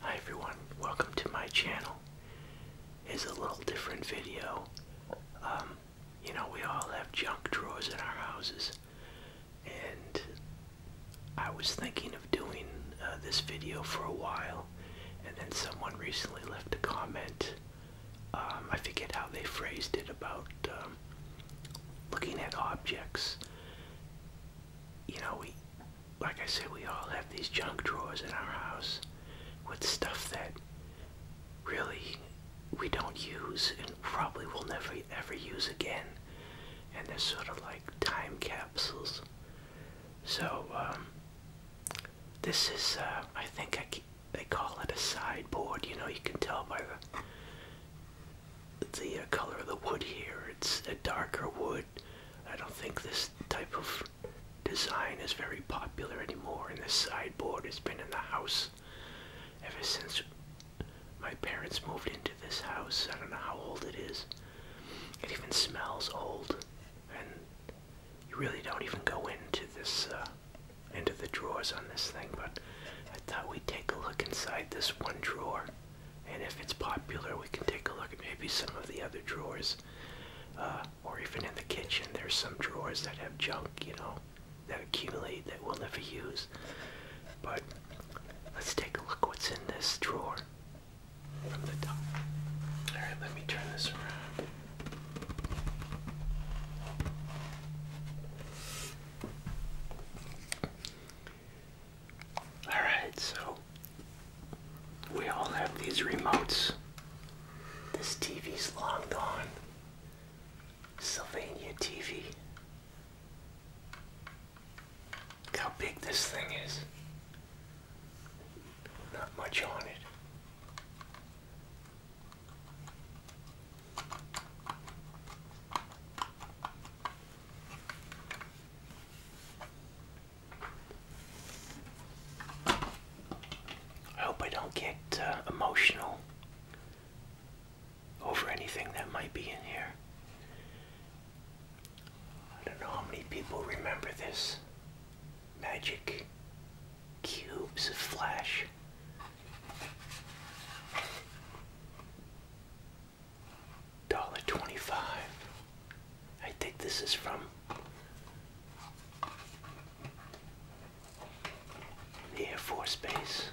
Hi everyone, welcome to my channel. It's a little different video. Um, you know, we all have junk drawers in our houses, and I was thinking of doing uh, this video for a while, and then someone recently left a comment. Um, I forget how they phrased it about um, looking at objects you know, we, like I said, we all have these junk drawers in our house with stuff that really we don't use and probably will never ever use again. And they're sort of like time capsules. So, um, this is, uh, I think I, they call it a sideboard. You know, you can tell by the the uh, color of the wood here. It's a darker wood. I don't think this type of design is very popular anymore, and this sideboard has been in the house ever since my parents moved into this house. I don't know how old it is. It even smells old, and you really don't even go into this, uh, into the drawers on this thing, but I thought we'd take a look inside this one drawer and if it's popular, we can take a look at maybe some of the other drawers, uh, or even in the kitchen. There's some drawers that have junk, you know, that accumulate that we'll never use. But let's take a look what's in this drawer All right, let me turn this around. Alright, so we all have these remotes. This TV's long gone. Sylvania TV. Look how big this thing is. Not much on it. I hope I don't get uh, emotional over anything that might be in here. I don't know how many people remember this magic cubes of flash. Dollar twenty-five. I think this is from the Air Force Base.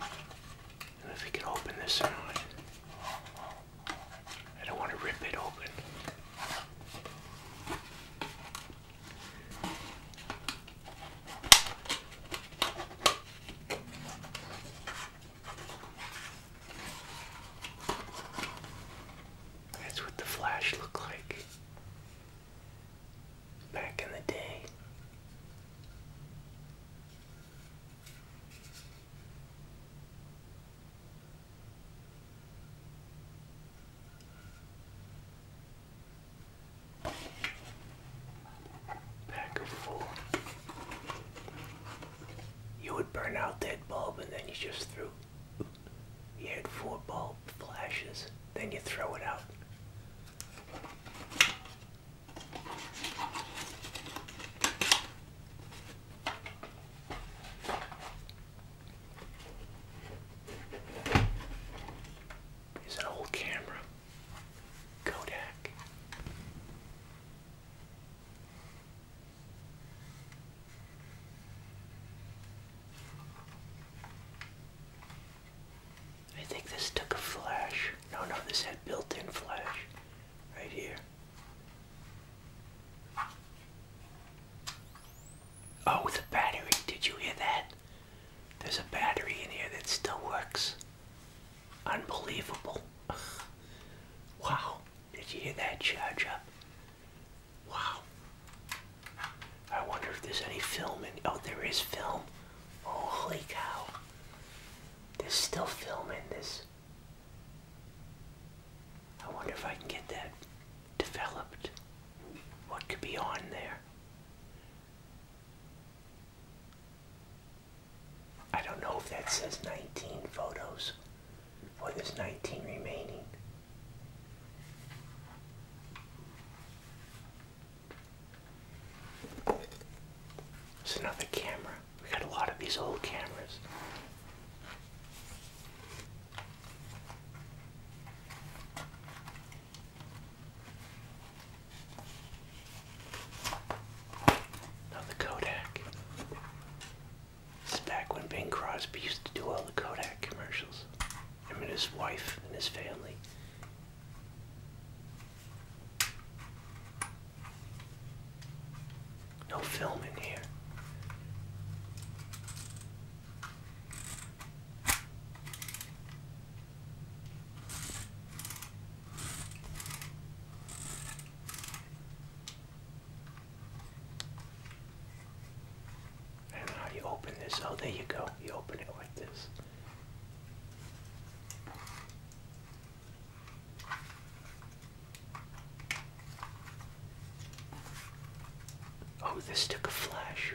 And if we can open this or not. I don't want to rip it open. That's what the Flash looked like back in the day. Pack of four. You would burn out that bulb and then you just threw. You had four bulb flashes, then you throw it out is an old camera. Kodak. I think this took a flash. No, no, this had built-in flash right here. Oh, the battery. Did you hear that? There's a battery in here that still works. Unbelievable. wow. Did you hear that charge up? Wow. I wonder if there's any film in. Oh, there is film. Holy cow. There's still film in this. I wonder if I can get that developed what could be on there. I don't know if that says 19 photos or there's 19 remaining. It's another camera. We got a lot of these old cameras. Now the Kodak. This back when Bing Crosby used to do all the Kodak commercials. Him and his wife and his family. No film in here. And how you open this? Oh, there you go. You open it like this. Oh, this took a flash.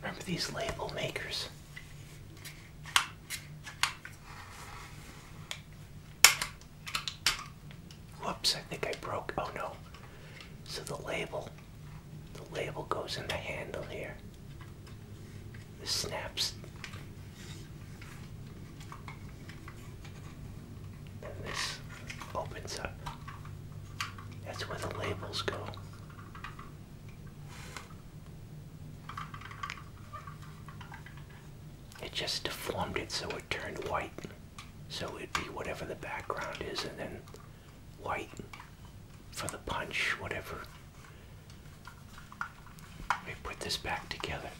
Remember these label makers? Whoops, I think I broke. Oh no. So the label, the label goes in the handle here. This snaps. Then this opens up. That's where the labels go. It just deformed it so it turned white. So it'd be whatever the background is and then white for the punch, whatever. We put this back together.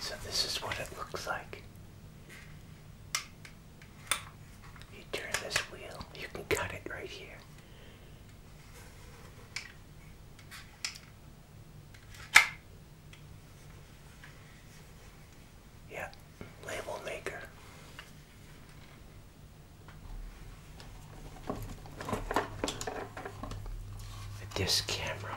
So this is what it looks like. You turn this wheel, you can cut it right here. Yeah, label maker with this camera.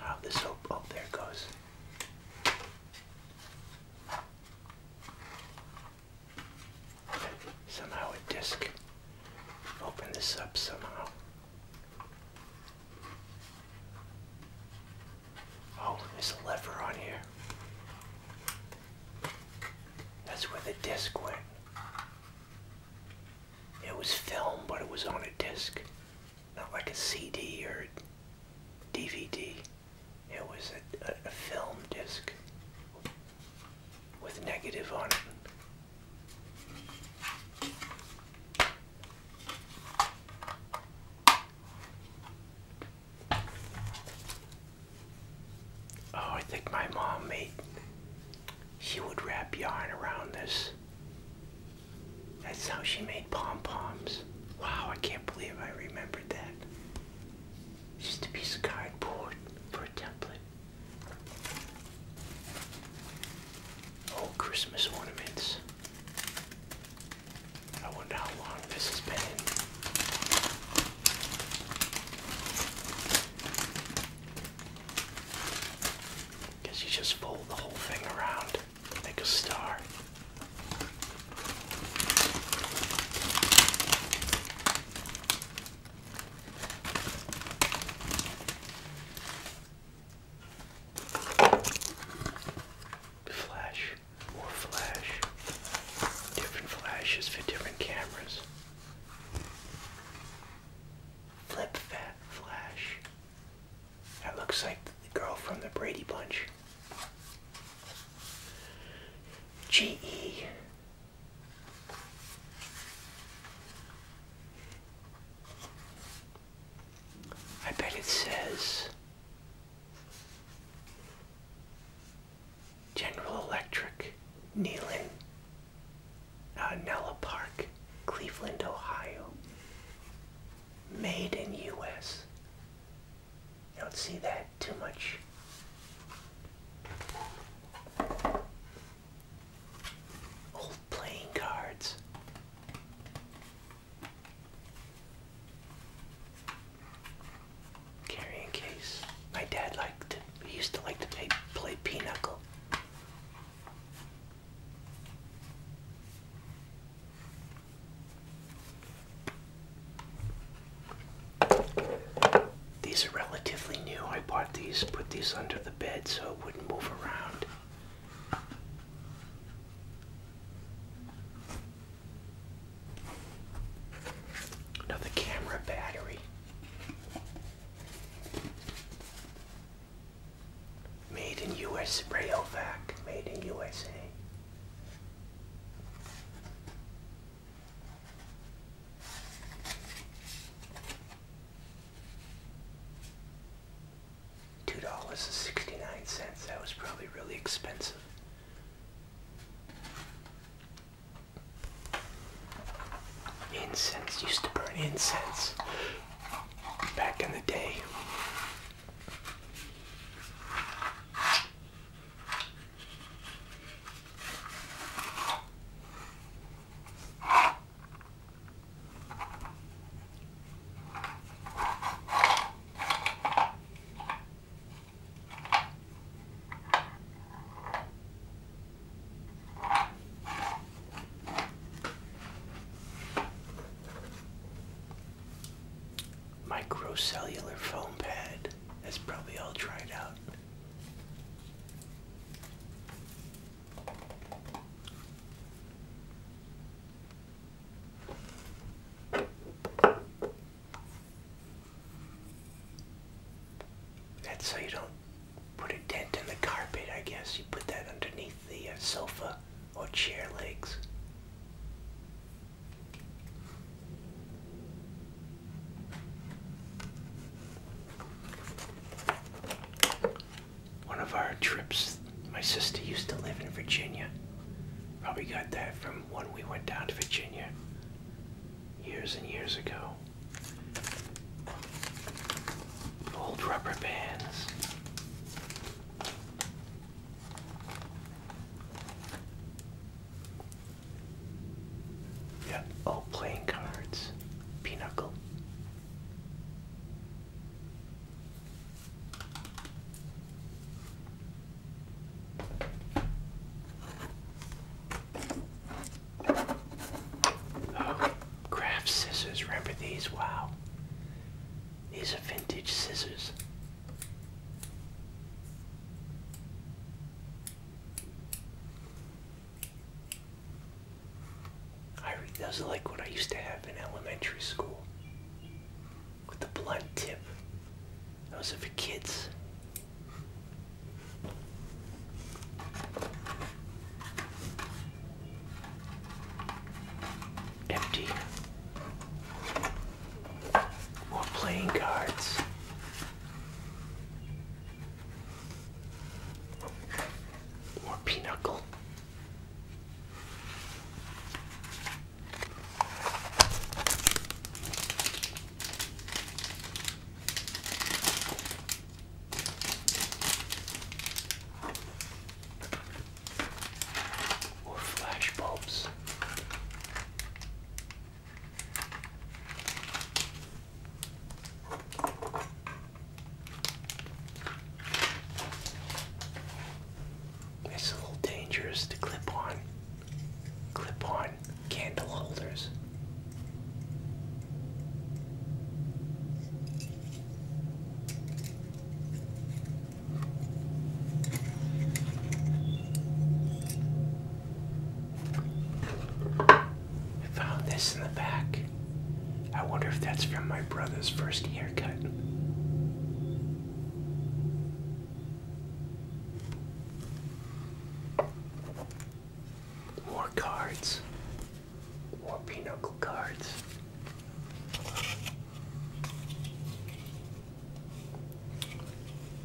how this hope oh, there it goes. Somehow a disc. Open this up somehow. Oh, there's a lever on here. That's where the disc went. It was film, but it was on a disc. Not like a CD or DVD. It was a film disc with negative on it. Oh, I think my mom made, she would wrap yarn around this. That's how she made pom-poms. Wow, I can't believe I remembered that. Just a piece of cardboard for a template. Oh, Christmas ornaments. I wonder how long this has been. Because you just fold the whole thing around, make a star. Flash, more flash, different flashes for different cameras. Flip fat flash. That looks like the girl from the Brady Bunch. GE. I bet it says General Electric, Neyland, uh, Nella Park, Cleveland, Ohio. Made in U.S. You don't see that too much. Old playing cards. Carrying case. My dad liked to, he used to like to play, play pinochle. These are relatively new. I bought these, put these under the bed so it wouldn't move around. Another camera battery. Made in US Rayovac, made in USA. Two dollars and sixty-nine cents. That was probably really expensive. Incense used to burn incense back in the day. Microcellular foam pad. That's probably all dried out. That's so you don't put a dent in the carpet, I guess. You put that underneath the uh, sofa or chair legs one of our trips. My sister used to live in Virginia. Probably got that from when we went down to Virginia years and years ago. Old rubber bands. Yep, old playing cards. Pinochle. Oh, craft scissors. Remember these? Wow. These are vintage scissors. I doesn't like what I used to have in elementary school with the blunt tip. Those are for kids. Empty. More playing cards. More pinochle. Or flash bulbs. It's a little dangerous to clip on clip on candle holders. I found this in the back. I wonder if that's from my brother's first haircut. More cards. More pinochle cards.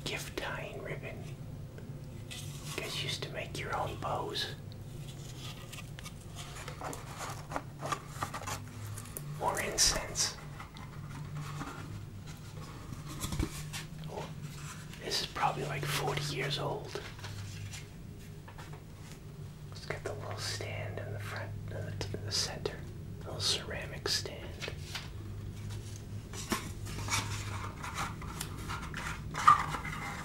Gift tying ribbon. You guys used to make your own bows. or incense. Oh, this is probably like 40 years old. It's got the little stand in the front, uh, in the center, little ceramic stand.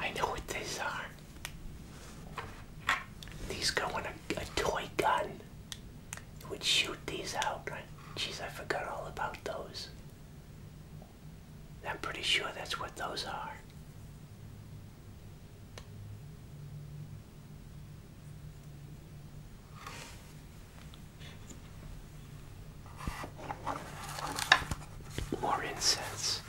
I know what these are. These go in a, toy gun. It would shoot these out. Jeez, I forgot all about those. I'm pretty sure that's what those are. More incense.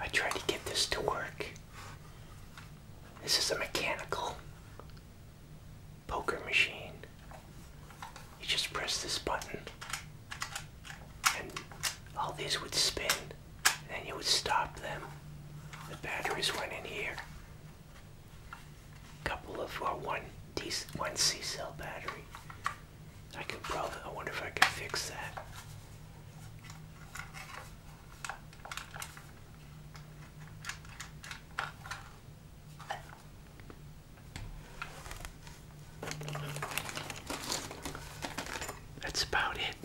I tried to get this to work. This is a mechanical poker machine. You just press this button and all these would spin and you would stop them. The batteries went in here. A couple of, uh, one, one C cell battery. I could probably, I wonder if I could fix that. That's about it.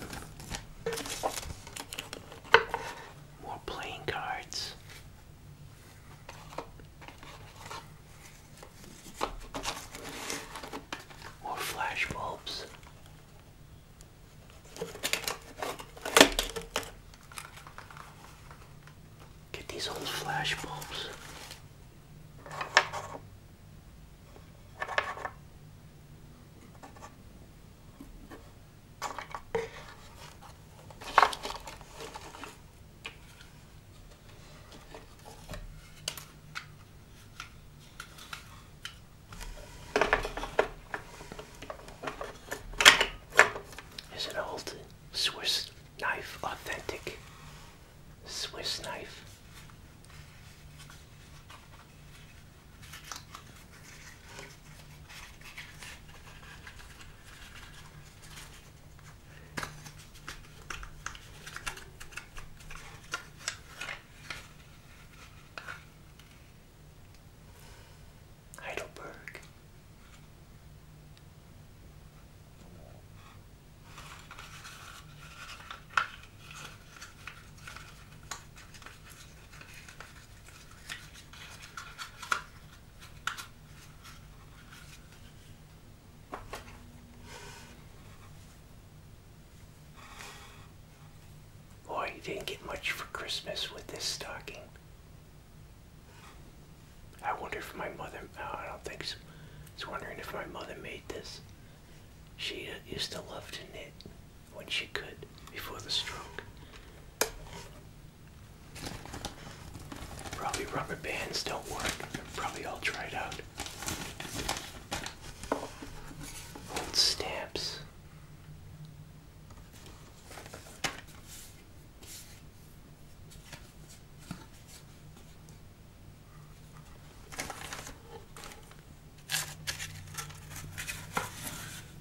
More playing cards. More flash bulbs. Get these old flash bulbs. Is an old Swiss knife authentic? Swiss knife. Heidelberg. Boy, you didn't get much for Christmas with this stocking. I wonder if my mother, I don't think so. I wondering if my mother made this. She uh, used to love to knit when she could before the stroke. Probably rubber bands don't work. They're probably all dried out. Old stamps.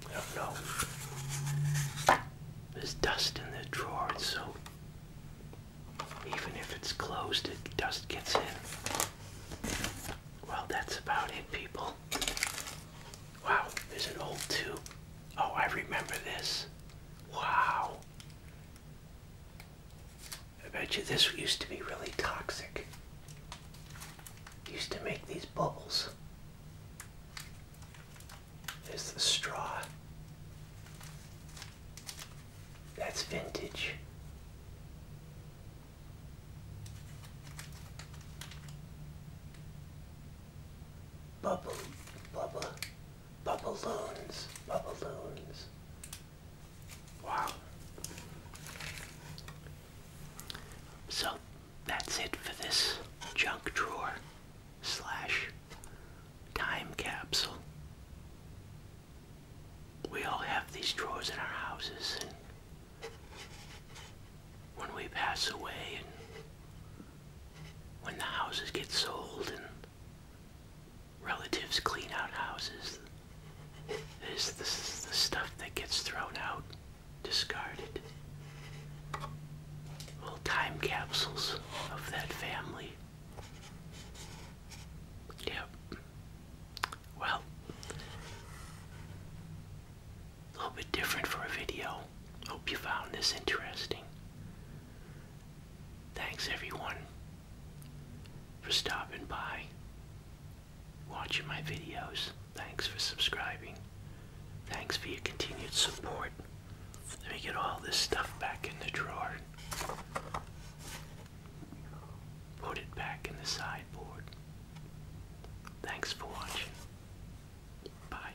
I don't know. There's dust in the drawer, so even if it's closed, it dust gets in. Well, that's about it, people. Wow, there's an old tube. Oh, I remember this. Wow. I bet you this used to be really toxic. Used to make these bubbles. There's the straw. That's vintage. Bubble, bubble, Bubble Bubbaloons. Wow. So that's it for this junk drawer slash time capsule. We all have these drawers in our houses and when we pass away and when the houses get sold and relatives clean out houses. This, this is the stuff that gets thrown out, discarded. Little time capsules of that family. Yep. Well, a little bit different for a video. Hope you found this interesting. Thanks everyone for stopping by, watching my videos. Thanks for subscribing. Thanks for your continued support. Let me get all this stuff back in the drawer. Put it back in the sideboard. Thanks for watching. Bye.